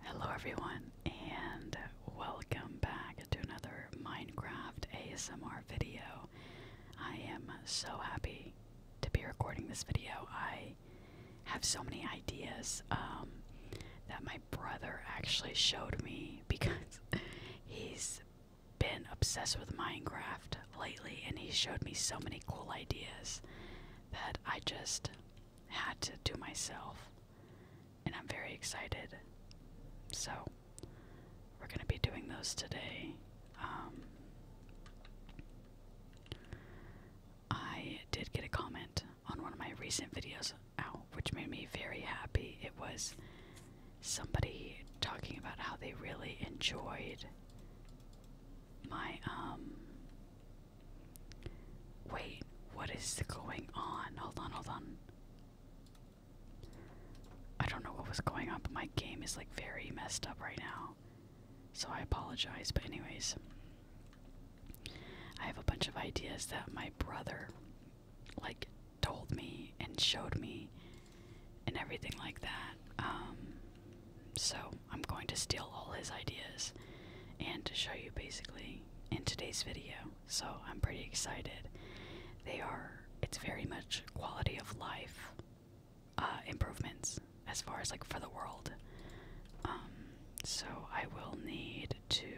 Hello everyone and welcome back to another Minecraft ASMR video. I am so happy to be recording this video. I have so many ideas um, that my brother actually showed me because he's been obsessed with Minecraft lately and he showed me so many cool ideas that I just had to do myself. And I'm very excited. So, we're going to be doing those today. Um, I did get a comment on one of my recent videos, ow, which made me very happy. It was somebody talking about how they really enjoyed my um, Wait, what is going on? Hold on, hold on. I don't know what was going on, but my game is like very messed up right now. So I apologize, but anyways. I have a bunch of ideas that my brother like told me and showed me and everything like that. Um so I'm going to steal all his ideas and to show you basically in today's video. So I'm pretty excited. They are, it's very much quality of life uh, improvements as far as like for the world. Um, so I will need to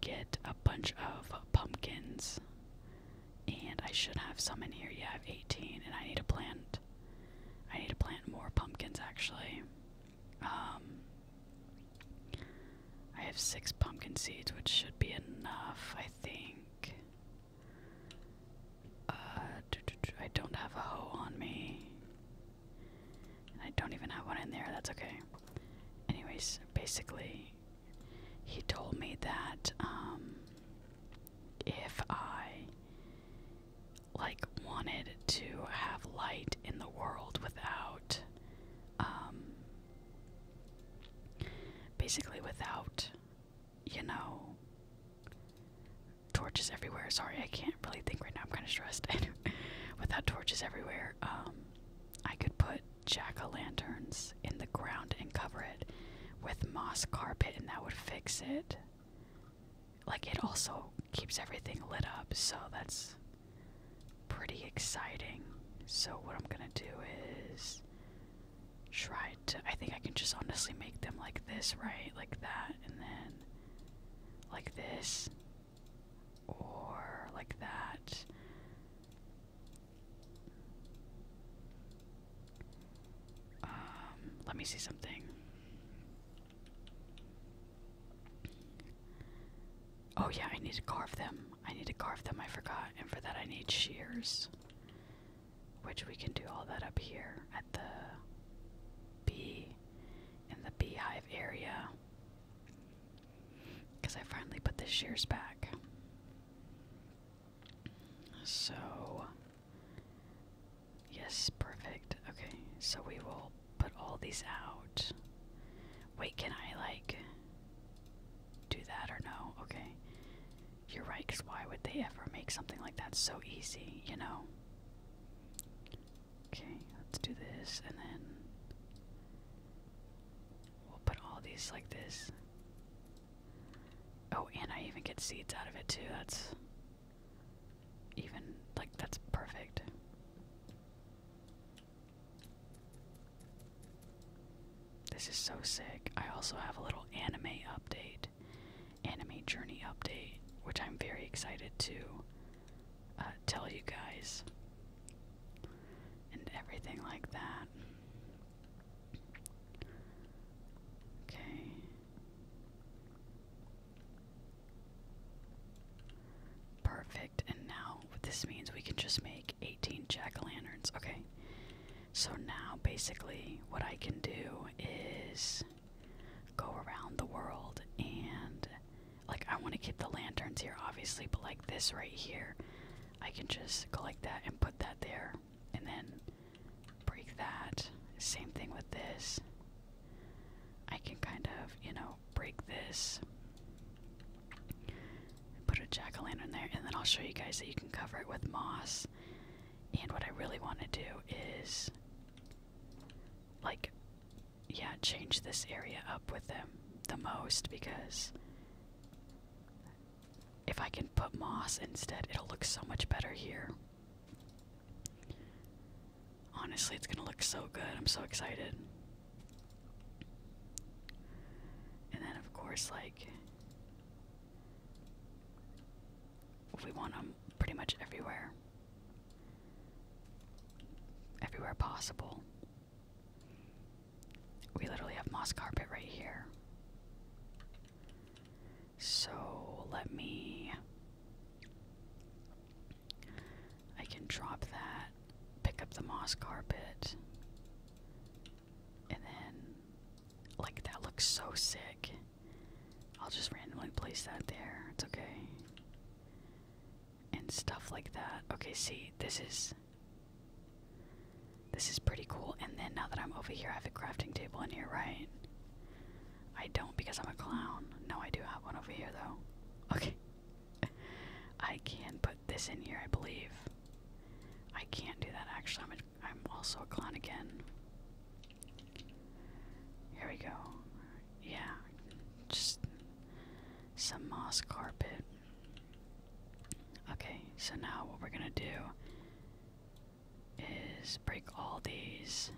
get a bunch of pumpkins. And I should have some in here. Yeah, have 18, and I need to plant. I need to plant more pumpkins actually. Um, I have six pumpkin seeds, which should be enough, I think. Uh, I don't have a hoe on me. I don't even have one in there, that's okay. Anyways, basically, he told me that um, if I like wanted to have light in the world without um, basically without you know torches everywhere sorry i can't really think right now i'm kind of stressed without torches everywhere um, i could put jack-o'-lanterns in the ground and cover it with moss carpet and that would fix it like it also keeps everything lit up, so that's pretty exciting. So what I'm gonna do is try to I think I can just honestly make them like this, right? Like that, and then like this or like that. Um, let me see something. Oh, yeah, I need to carve them. I need to carve them, I forgot. And for that, I need shears. Which we can do all that up here at the bee, in the beehive area. Because I finally put the shears back. So, Yes, perfect. Okay, so we will put all these out. Wait, can I, like, do that or no? Okay. You're right, because why would they ever make something like that so easy, you know? Okay, let's do this, and then we'll put all these like this. Oh, and I even get seeds out of it too. That's even like that's perfect. This is so sick. I also have a little anime update, anime journey update, which I'm very excited to uh, tell you guys and everything like that. Okay. Perfect, and now what this means we can just make 18 jack lanterns Okay, so now basically what I can do is go around the world and like I want to keep the lanterns here obviously, but like this right here, I can just collect that and put that there and then break that. Same thing with this. I can kind of, you know, break this, put a jack o' lantern there, and then I'll show you guys that you can cover it with moss. And what I really want to do is, like, yeah, change this area up with them the most because if I can put moss instead, it'll look so much better here. Honestly, it's gonna look so good. I'm so excited. And then, of course, like, we want them pretty much everywhere. Everywhere possible. We literally have moss carpet right here. So let me I can drop that, pick up the moss carpet, and then, like, that looks so sick. I'll just randomly place that there. It's okay. And stuff like that. Okay, see, this is. This is pretty cool. And then now that I'm over here, I have a crafting table in here, right? I don't because I'm a clown. No, I do have one over here though. Okay. I can put this in here, I believe. I can't do that actually. I'm a, I'm also a clown again. Here we go. Yeah. Just some moss carpet. Okay, so now what we're going to do is break all these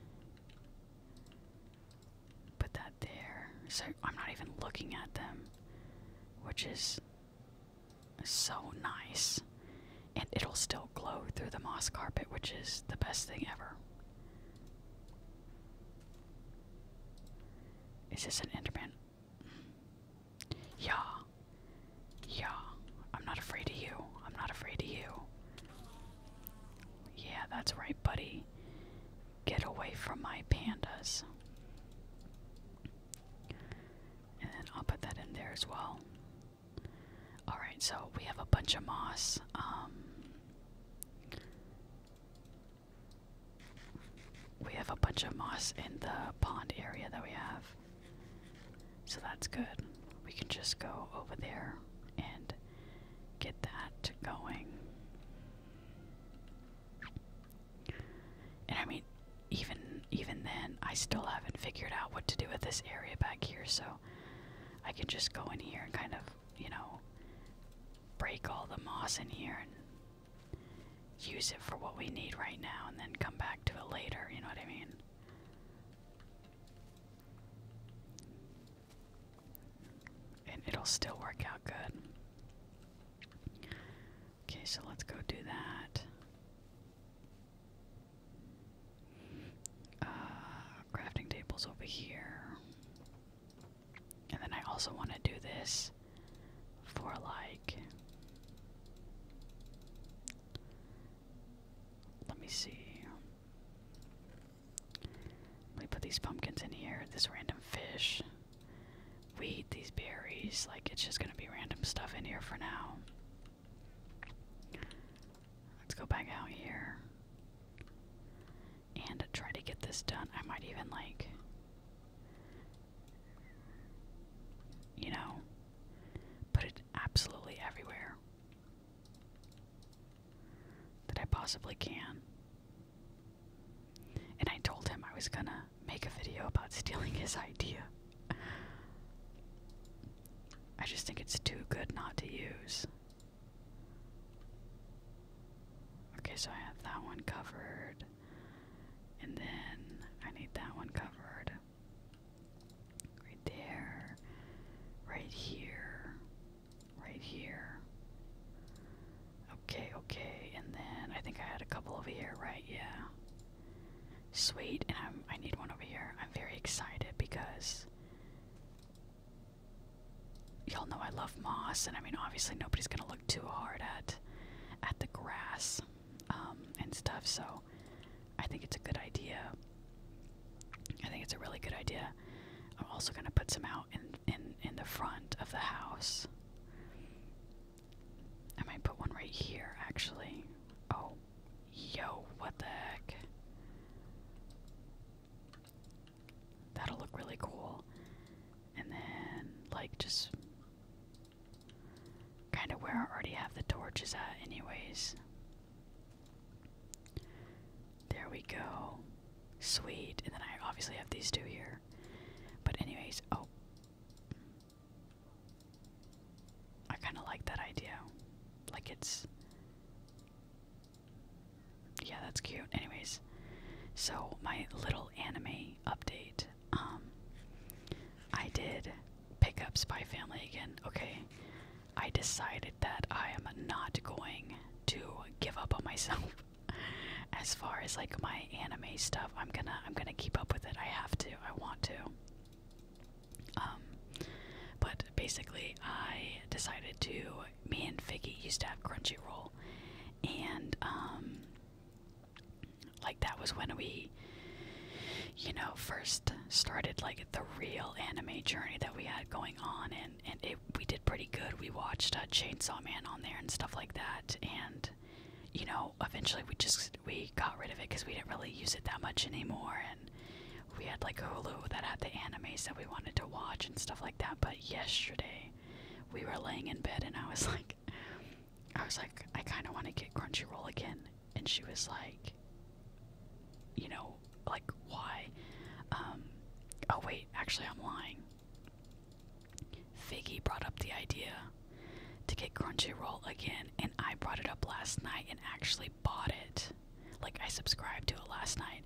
put that there. So I'm not even looking at them, which is so nice. And it'll still glow through the moss carpet, which is the best thing ever. Is this an Enderman? Yeah. Yeah. I'm not afraid of you. I'm not afraid of you. Yeah, that's right, buddy. Get away from my pandas. And I'll put that in there as well. Alright, so we have a bunch of moss. Um, we have a bunch of moss in the pond area that we have. So that's good. We can just go over there and get that going. And I mean, even even then, I still haven't figured out what to do with this area back here, so I can just go in here and kind of, you know, break all the moss in here and use it for what we need right now and then come back to it later, you know what I mean? and it'll still work out good. Okay, so let's go do that. Uh, crafting tables over here. And then I also want to do this for like. Let me see. We put these pumpkins in here, this random fish. We eat these berries. Like, it's just gonna be random stuff in here for now. Let's go back out here and try to get this done. I might even, like, you know, put it absolutely everywhere that I possibly can. And I told him I was gonna make a video about stealing his idea. I just think it's too good not to use. Okay, so I have that one covered. And then I need that one covered. Right there. Right here right here. Okay, okay, and then I think I had a couple over here, right? Yeah. Sweet, and I'm, I need one over here. I'm very excited because y'all know I love moss, and I mean, obviously nobody's gonna look too hard at at the grass um, and stuff. So I think it's a good idea. I think it's a really good idea. I'm also gonna put some out in in in the front of the house. I might put one right here actually. Oh, yo, what the heck? That'll look really cool. And then like just kind of where I already have the torches at anyways. There we go. Sweet. And then I obviously have these two here. But, anyways, oh. I kind of like that idea. Like, it's. Yeah, that's cute. Anyways, so my little anime update. Um, I did pick up Spy Family again. Okay, I decided that I am not going to give up on myself. as far as like my anime stuff, I'm gonna I'm gonna keep up with it. I have to. I want to. Um, but basically, I decided to. Me and Figgy used to have Crunchyroll, and um, like that was when we, you know, first started like the real anime journey that we had going on. and and we did pretty good. We watched uh, Chainsaw Man on there and stuff like that, and you know, eventually we just we got rid of it because we didn't really use it that much anymore, and we had like Hulu that had the anime that we wanted to watch and stuff like that. But yesterday, we were laying in bed, and I was like, I was like, I kind of want to get Crunchyroll again, and she was like, you know, like why? Um, oh wait, actually I'm lying. Figgy brought up the idea to get Crunchyroll again, and I brought it up last night and actually bought it. Like I subscribed to it last night,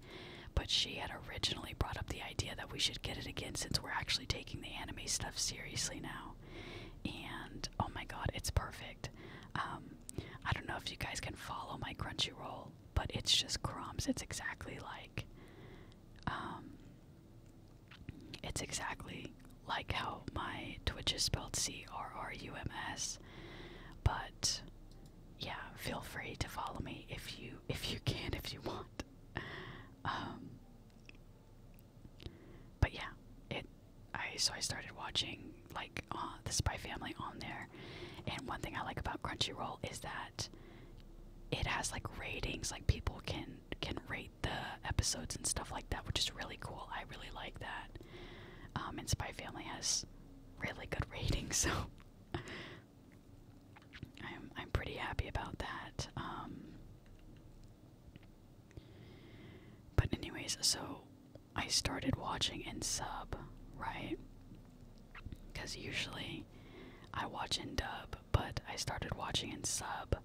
but she had originally brought up the idea that we should get it again since we're actually taking the anime stuff seriously now. And oh my god, it's perfect. Um, I don't know if you guys can follow my Crunchyroll but it's just crumbs. It's exactly like um it's exactly like how my Twitch is spelled C R R U M S. But yeah, feel free to follow me if you if you can if you want. Um But yeah, it I so I started watching like uh, the Spy Family on there. And one thing I like about Crunchyroll is that it has like ratings, like people can can rate the episodes and stuff like that, which is really cool. I really like that. Um, and Spy Family has really good ratings, so I'm I'm pretty happy about that. Um, but anyways, so I started watching in sub, right? Because usually I watch in dub, but I started watching in sub,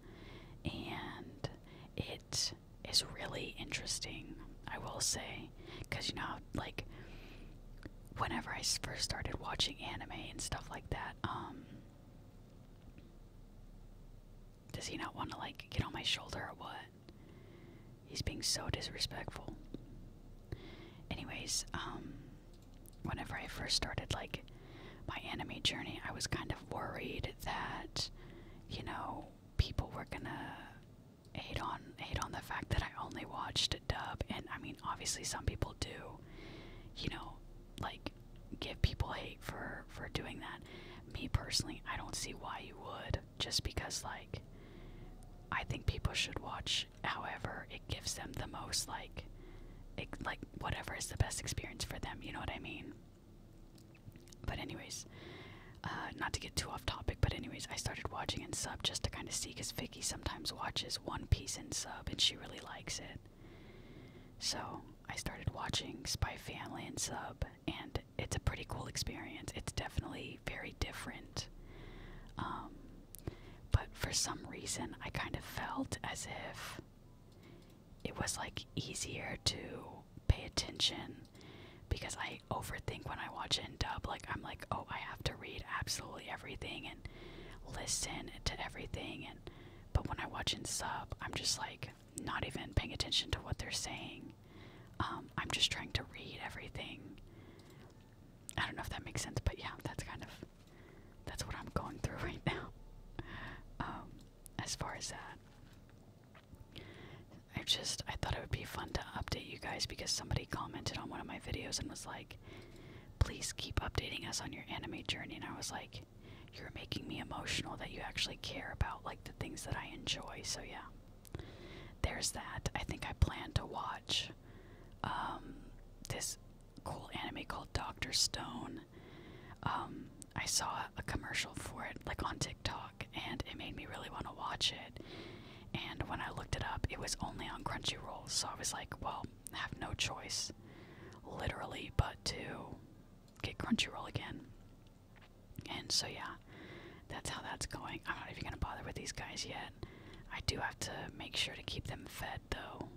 and it is really interesting, I will say. Because, you know, like, whenever I first started watching anime and stuff like that, um, does he not want to, like, get on my shoulder or what? He's being so disrespectful. Anyways, um, whenever I first started like my anime journey, I was kind of worried that, you know, people were gonna hate on hate on the fact that I only watched dub, and I mean, obviously some people do, you know, like give people hate for for doing that. Me personally, I don't see why you would, just because like I think people should watch However, it gives them the most like, like whatever is the best experience for them. You know what I mean? But anyways, uh, not to get too off topic, but anyways, I started watching in sub just to kind of see, cause Vicky sometimes watches One Piece in sub, and she really likes it. So I started watching Spy Family in sub, and it's a pretty cool experience. It's definitely very different. Um, but for some reason, I kind of felt as if it was like easier to pay attention because I overthink when I watch it in dub. Like, I'm like, oh, I have to read absolutely everything and listen to everything. And but when I watch in sub, I'm just like not even paying attention to what they're saying. Um, I'm just trying to read everything. I don't know if that makes sense, but yeah, that's kind of that's what I'm going through right now. Um, as far as that, I just I thought it would be fun to update you guys because somebody commented on one of my videos and was like, "Please keep updating us on your anime journey." And I was like, "You're making me emotional that you actually care about like the things that I enjoy." So yeah, there's that. I think I plan to watch um, this cool anime called Doctor Stone. Um, I saw a commercial for it, like on TikTok, and it made me really want to watch it. And when I looked it up, it was only on Crunchyroll, so I was like, well, I have no choice, literally, but to get Crunchyroll again. And so, yeah, that's how that's going. I'm not even going to bother with these guys yet. I do have to make sure to keep them fed, though.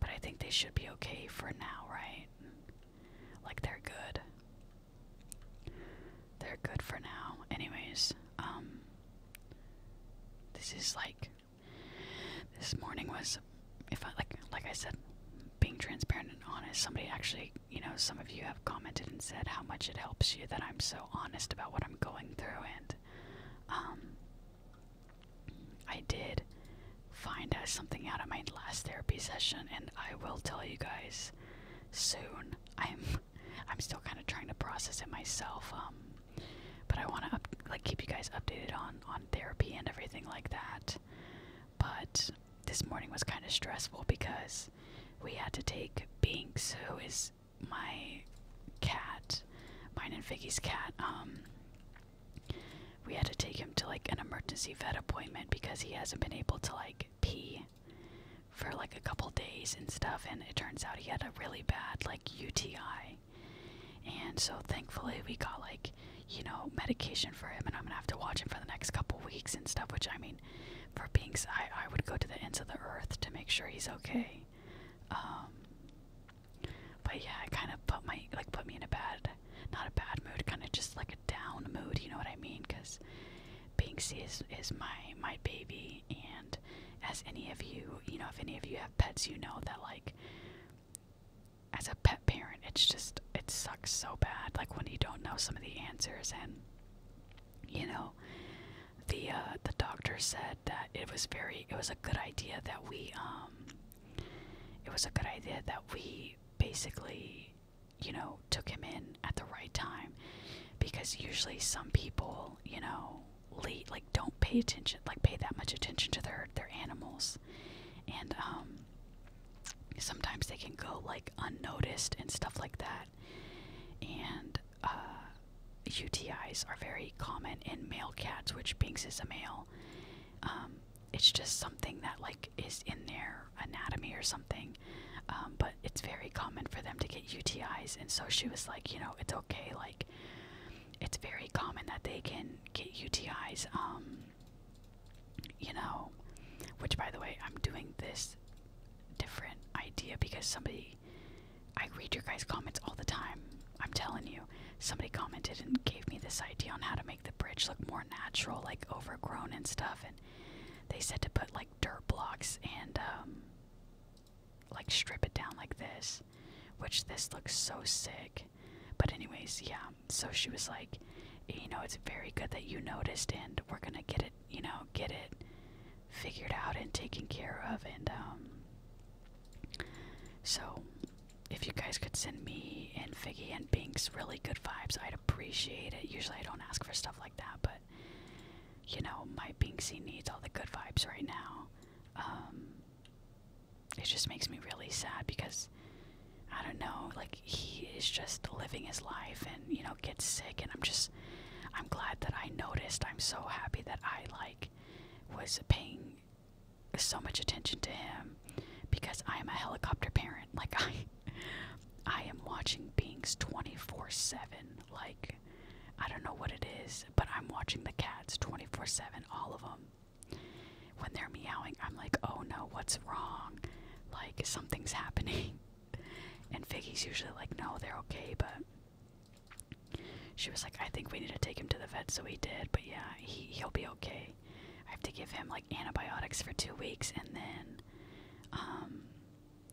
But I think they should be okay for now, right? Like, they're good. They're good for now. Anyways, um. This is like. This morning was. If I like, like I said, being transparent and honest. Somebody actually, you know, some of you have commented and said how much it helps you that I'm so honest about what I'm going through, um, I did find out something out of my last therapy session, and I will tell you guys soon. I'm I'm still kind of trying to process it myself, um, but I want to like keep you guys updated on on therapy and everything like that. But this morning was kind of stressful because we had to take Binks, who is my cat, mine and Vicky's cat, um, we had to take him to like an emergency vet appointment because he hasn't been able to like pee for like a couple days and stuff. And it turns out he had a really bad like UTI. And so thankfully we got like, you know, medication for him and I'm gonna have to watch him for the next couple weeks and stuff, which I mean for being I, I would go to the ends of the earth to make sure he's okay. Um, but yeah, it kind of put my like put me in a bad, not a bad mood, kind of just like a down mood. You know what I mean? Because Banksy is is my my baby, and as any of you, you know, if any of you have pets, you know that like as a pet parent, it's just it sucks so bad. Like when you don't know some of the answers and you know the uh, the doctor said that it was very it was a good idea that we um it was a good idea that we basically you know took him in at the right time because usually some people you know late like don't pay attention like pay that much attention to their their animals and um, sometimes they can go like unnoticed and stuff like that and UTIs uh, are very common in male cats, which Binks is a male. Um, it's just something that like is in their anatomy or something. Um, but it's very common for them to get UTIs, and so she was like, you know, it's okay. Like, it's very common that they can get UTIs. Um, you know, which by the way, I'm doing this different idea because somebody I read your guys' comments all the time. I'm telling you, somebody commented and gave me this idea on how to make the bridge look more natural, like overgrown and stuff. And they said to put like dirt blocks and um, like strip it down like this, which this looks so sick. But, anyways, yeah. So she was like, you know, it's very good that you noticed, and we're gonna get it you know, get it figured out and taken care of. And um, so, if you guys could send me and Figgy and Binks really good vibes, I'd appreciate it. Usually, I don't ask for stuff like that, but you know, my Binksy needs all the good vibes right now. Um, it just makes me really sad because I don't know, like, he is just living his life and, you know, gets sick, and I'm just I'm glad that I noticed. I'm so happy that I like was paying so much attention to him because I am a helicopter parent. Like I I am watching Bings 24/7. Like I don't know what it is, but I'm watching the cats 24/7, all of them. When they're meowing, I'm like, "Oh no, what's wrong?" Like something's happening. And Figgy's usually like, "No, they're okay," but she was like, I think we need to take him to the vet, so we did, but yeah, he, he'll be okay. I have to give him like antibiotics for two weeks and then, um,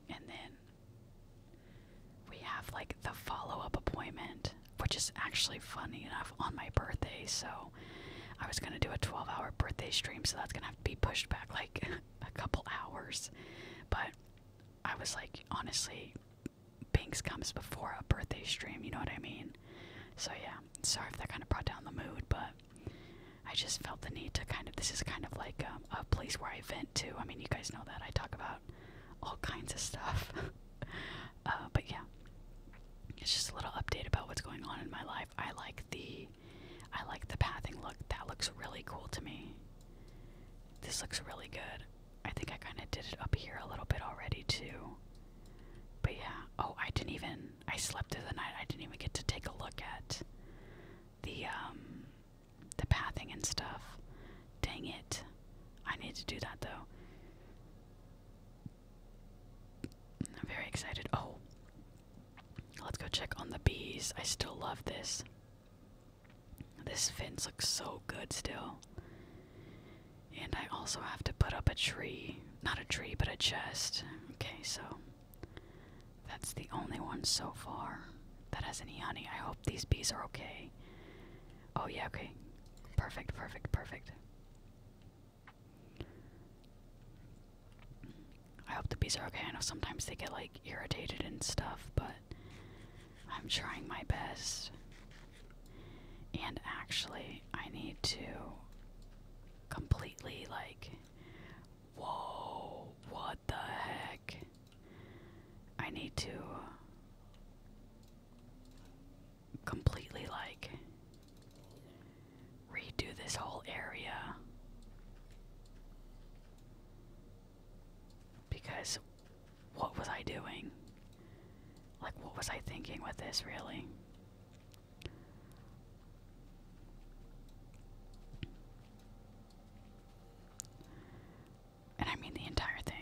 and then we have like the follow up appointment, which is actually funny enough on my birthday. So I was going to do a 12 hour birthday stream, so that's going to have to be pushed back like a couple hours. But I was like, honestly, Binks comes before a birthday stream, you know what I mean? So yeah, sorry if that kind of brought down the mood, but I just felt the need to kind of, this is kind of like um, a place where I vent too. I mean, you guys know that. I talk about all kinds of stuff. Uh, but yeah, it's just a little update about what's going on in my life. I like the, I like the pathing look. That looks really cool to me. This looks really good. I think I kind of did it up here a little bit already too. But yeah, oh, I didn't even, I slept through the night. I didn't even get to take a look at the, um, the pathing and stuff. Dang it. I need to do that though. I'm very excited. Oh, let's go check on the bees. I still love this. This fence looks so good still. And I also have to put up a tree. Not a tree, but a chest. Okay, so that's the only one so far that has any honey. I hope these bees are okay. Oh, yeah, okay. Perfect, perfect, perfect. I hope the bees are okay. I know sometimes they get like irritated and stuff, but I'm trying my best. And actually, I need to completely like. Whoa, what the heck? I need to completely like redo this whole area. Because what was I doing? Like, what was I thinking with this, really? And I mean the entire thing.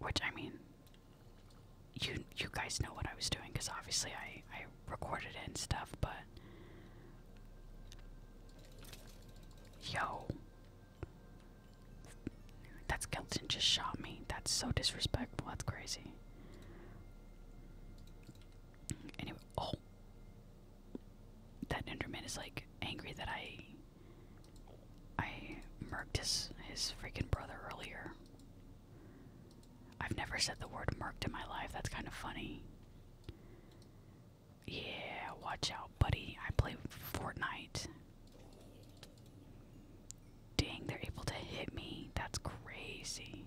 Which, I mean, you you guys know what I was doing because obviously I, I recorded it and stuff, but Yo. That skeleton just shot me. That's so disrespectful. That's crazy. Anyway, oh. That Enderman is like angry that I I murked his freaking brother earlier. I've never said the word murked in my life. That's kind of funny. Yeah, watch out, buddy. I play Fortnite. Dang, they're able to hit me. That's crazy.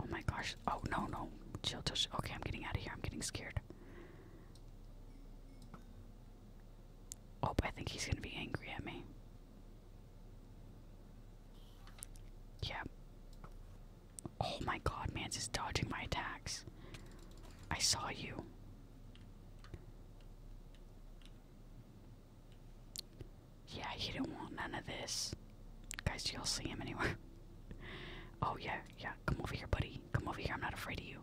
Oh my gosh. Oh, no, no. Chill, chill, chill. Okay, I'm getting out of here. I'm getting scared. Oh, I think he's gonna be angry at me. Yeah. Oh my god, Mance is dodging my attacks. I saw you. Yeah, he do not want none of this. Guys, y'all see him anywhere? oh yeah, yeah, come over here, buddy. Come over here, I'm not afraid of you.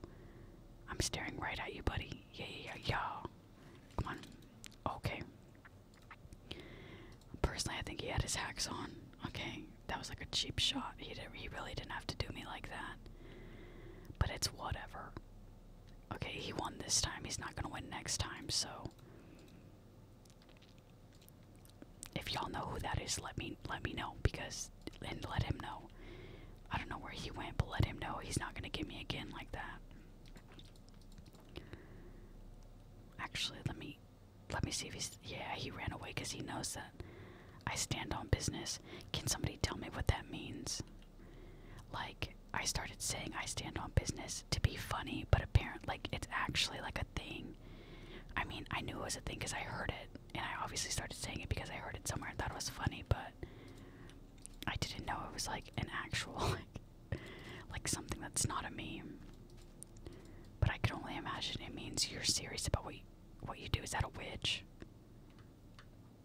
I'm staring right at you, buddy. Yeah, yeah, yeah, yeah. Come on. Okay. Personally, I think he had his hacks on. Okay, that was like a cheap shot. He didn't, he really didn't have to do me like that. But it's whatever. Okay, he won this time. He's not gonna win next time. So, if y'all know who that is, let me let me know because and let him know. I don't know where he went, but let him know he's not gonna get me again like that. Actually, let me let me see if he's yeah, he ran away cuz he knows that I stand on business. Can somebody tell me what that means? Like I started saying I stand on business to be funny, but apparently, like it's actually like a thing. I mean, I knew it was a thing cuz I heard it and I obviously started saying it because I heard it somewhere and thought it was funny, but I didn't know it was like an actual like like something that's not a meme. But I can only imagine it means you're serious about what you, what you do. Is that a witch?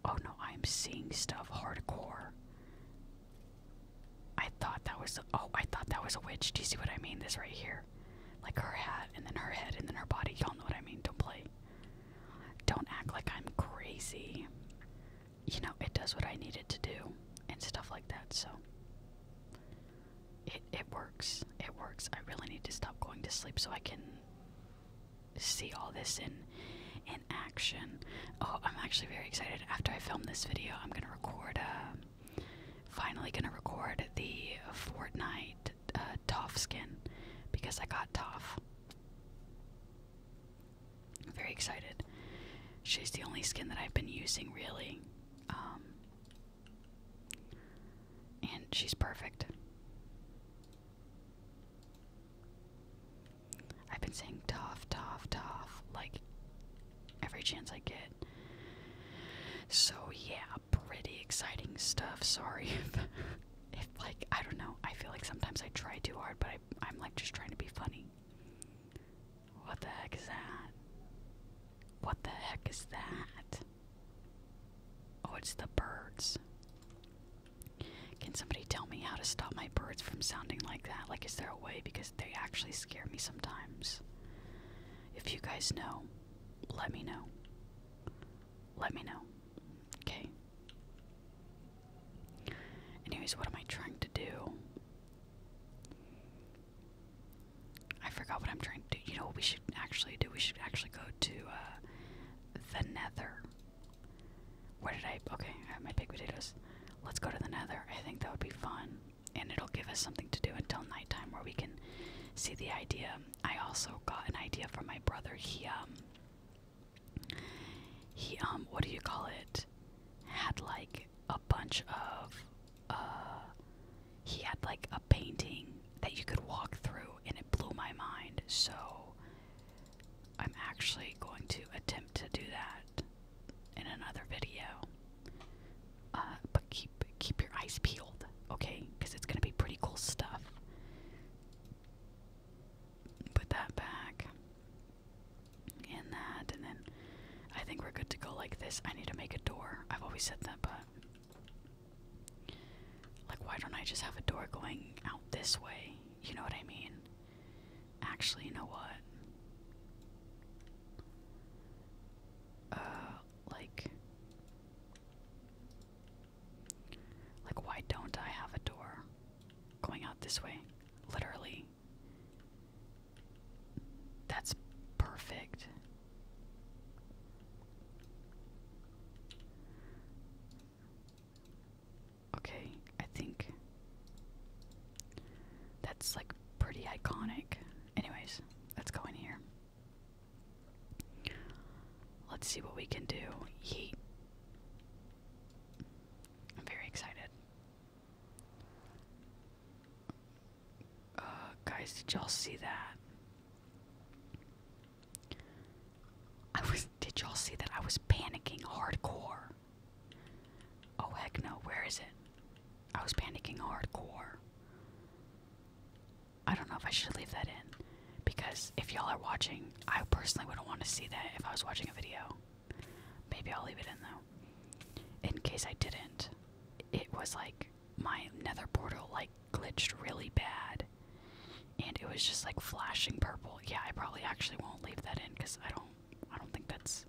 Oh no, I'm seeing stuff hardcore. I thought that was oh, I thought that was a witch. Do you see what I mean? This right here, like her hat, and then her head, and then her body. Y'all know what I mean. Don't play. Don't act like I'm crazy you know, it does what I need it to do and stuff like that. So it it works. It works. I really need to stop going to sleep so I can see all this in in action. Oh, I'm actually very excited. After I film this video, I'm gonna record. Uh, finally, gonna record the Fortnite uh, Toff skin because I got Toff. I'm very excited. She's the only skin that I've been using really. Um, and she's perfect. I've been saying tough, tough, tough, like every chance I get. So yeah, pretty exciting stuff. Sorry if, if like I don't know. I feel like sometimes I try too hard, but I'm like just trying to be funny. What the heck is that? What the heck is that? Oh, it's the birds. Can somebody tell me how to stop my birds from sounding like that? Like, is there a way? Because they actually scare me sometimes. If you guys know, let me know. Let me know. Okay. Anyways, what am I trying to do? I forgot what I'm trying to do. You know what we should actually do? We should actually go to uh, the nether. Where did I? Okay, I have my big potatoes. Let's go to the nether. I think that would be fun. And it'll give us something to do until nighttime where we can see the idea. I also got an idea from my brother. He, um, he, um, what do you call it? Had like a bunch of uh he had like a painting that you could walk through and it blew my mind so I'm actually going to attempt to do that in another video. Uh, but keep keep your eyes peeled, okay? Because it's gonna be pretty cool stuff. Put that back and that, and then I think we're good to go like this. I need to make a door. I've always said that, but like, why don't I just have a door going out this way? You know what I mean? Actually, you know what? Uh, like, like, why don't I have a door going out this way? Literally, that's perfect. Okay, I think that's like pretty iconic. Anyways, let's go in here. Let's see what we can do. I'm very excited. Uh, guys, did y'all see that? I was. Did y'all see that? I was panicking hardcore. Oh heck no! Where is it? I was panicking hardcore. I don't know if I should leave that in because if y'all are watching, I personally wouldn't want to see that if I was watching a video. Maybe I'll leave it in though. In case I didn't, it was like my nether portal like glitched really bad and it was just like flashing purple. Yeah, I probably actually won't leave that in because I don't I don't think that's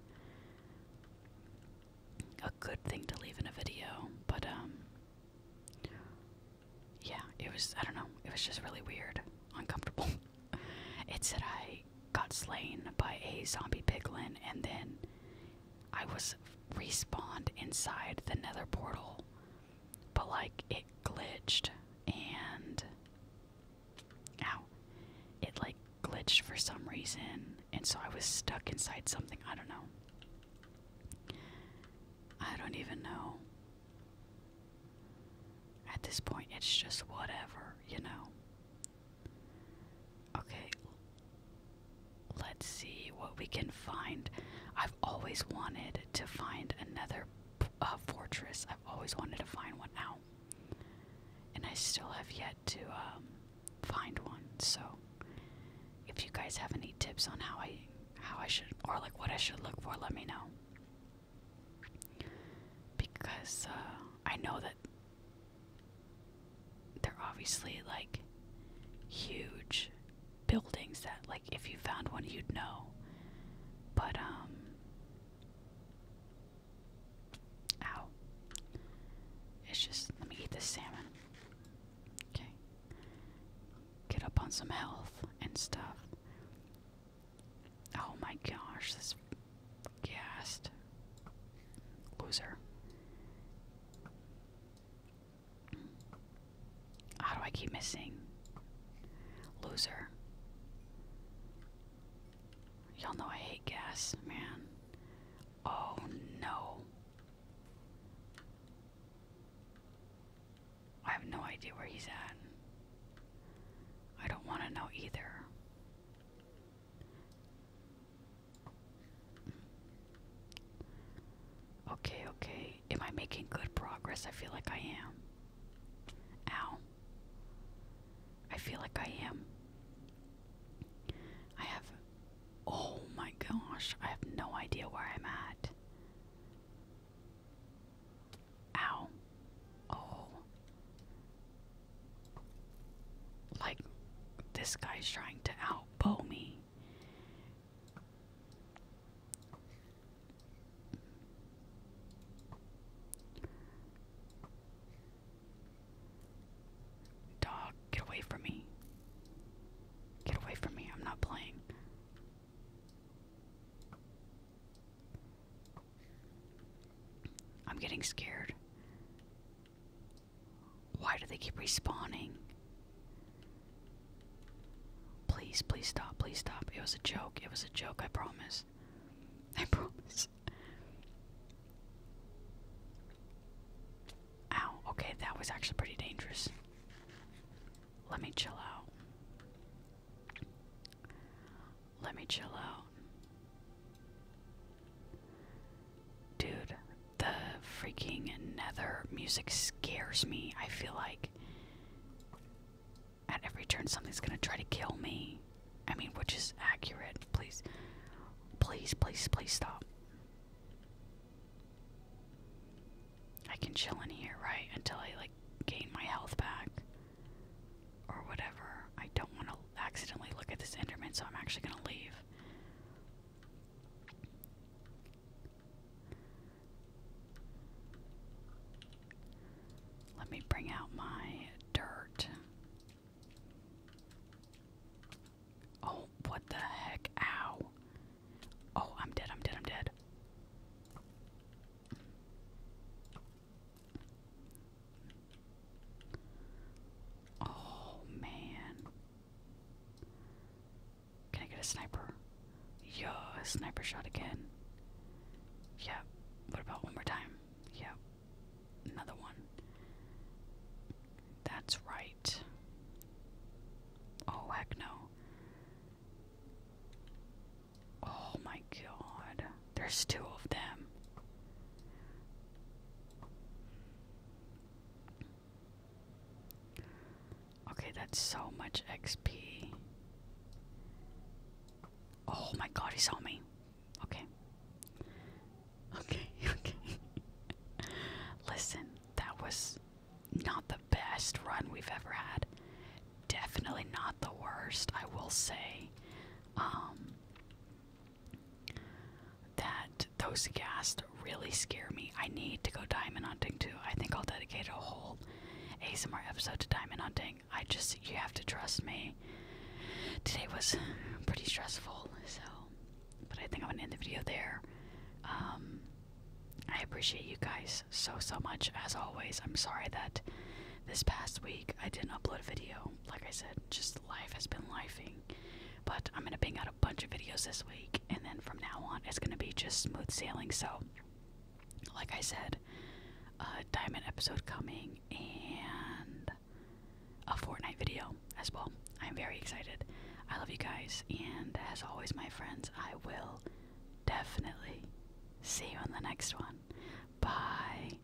a good thing to leave in a video. But um yeah, it was I don't know, it was just really weird, uncomfortable. it said I got slain by a zombie piglin, and then I was respawned inside the nether portal, but like it glitched and ow, it like glitched for some reason, and so I was stuck inside something. I don't know. I don't even know. At this point, it's just whatever, you know. Okay, let's see what we can find. I've always wanted to find another uh, fortress. I've always wanted to find one out, and I still have yet to um, find one. So, if you guys have any tips on how I how I should or like what I should look for, let me know. Because uh, I know that that they're obviously like huge buildings that like if you found one you'd know. But um ow. It's just let me eat this salmon. Okay. Get up on some health and stuff. Oh my gosh, this gassed. Loser. How do I keep missing? Loser. Y'all know I hate gas, man. Oh no. I have no idea where he's at. I don't want to know either. Okay, okay. Am I making good progress? I feel like I am. Ow. I feel like I am. I have. Oh my gosh, I have no idea where I'm at. Ow. Oh. Like, this guy's trying to outbow me. Dog, get away from me. Get away from me, I'm not playing. I'm getting scared. Why do they keep respawning? Please, please stop, please stop. It was a joke, it was a joke, I promise. I promise. Ow, okay, that was actually pretty dangerous. Let me chill out. Let me chill out. Dude, the freaking nether music scares me. I feel like at every turn something's gonna try to kill me. I mean, which is accurate. Please, please, please, please stop. I can chill in here, right? Until I like gain my health back or whatever. I don't want to i accidentally look at this Enderman, so I'm actually gonna leave. Let me bring out my dirt. Oh, what the heck? Ow. Oh, I'm dead, I'm dead, I'm dead. Oh man. Can I get a sniper? Yo, a sniper shot again. Yeah. What about one more time? Yeah. Another one. That's right. Oh, heck no. Oh my god. There's two of them. Okay, that's so much XP. Oh my god, he saw me. Okay. Okay, okay. Listen, that was not the best run we've ever had. Definitely not the worst, I will say. Um that those ghast really scare me. I need to go diamond hunting too. I think I'll dedicate a whole ASMR episode to diamond hunting. I just you have to trust me. Today was pretty stressful, so but I think I'm gonna end the video there. Um, I appreciate you guys so so much as always. I'm sorry that this past week I didn't upload a video. Like I said, just life has been lifing. But I'm gonna bang out a bunch of videos this week, and then from now on, it's gonna be just smooth sailing. So, like I said, a diamond episode coming and a Fortnite video as well. I'm very excited. I love you guys, and as always, my friends, I will definitely see you on the next one. Bye.